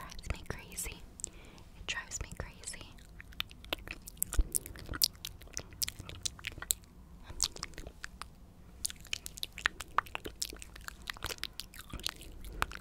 Drives me crazy. It drives me crazy. It drives me crazy. It drives me crazy.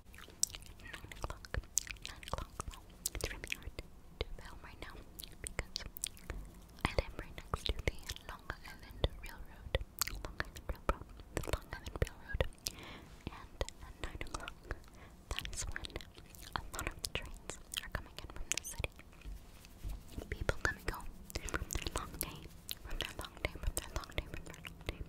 nine o'clock, nine o'clock. Well, it's really hard to film right now because I live right next to the Long Island Railroad, Long Island Railroad, the Long Island Railroad, and at nine o'clock, that is when a lot of the trains are coming in from the city. People coming home from their long day, from their long day, from their long day, from their long day.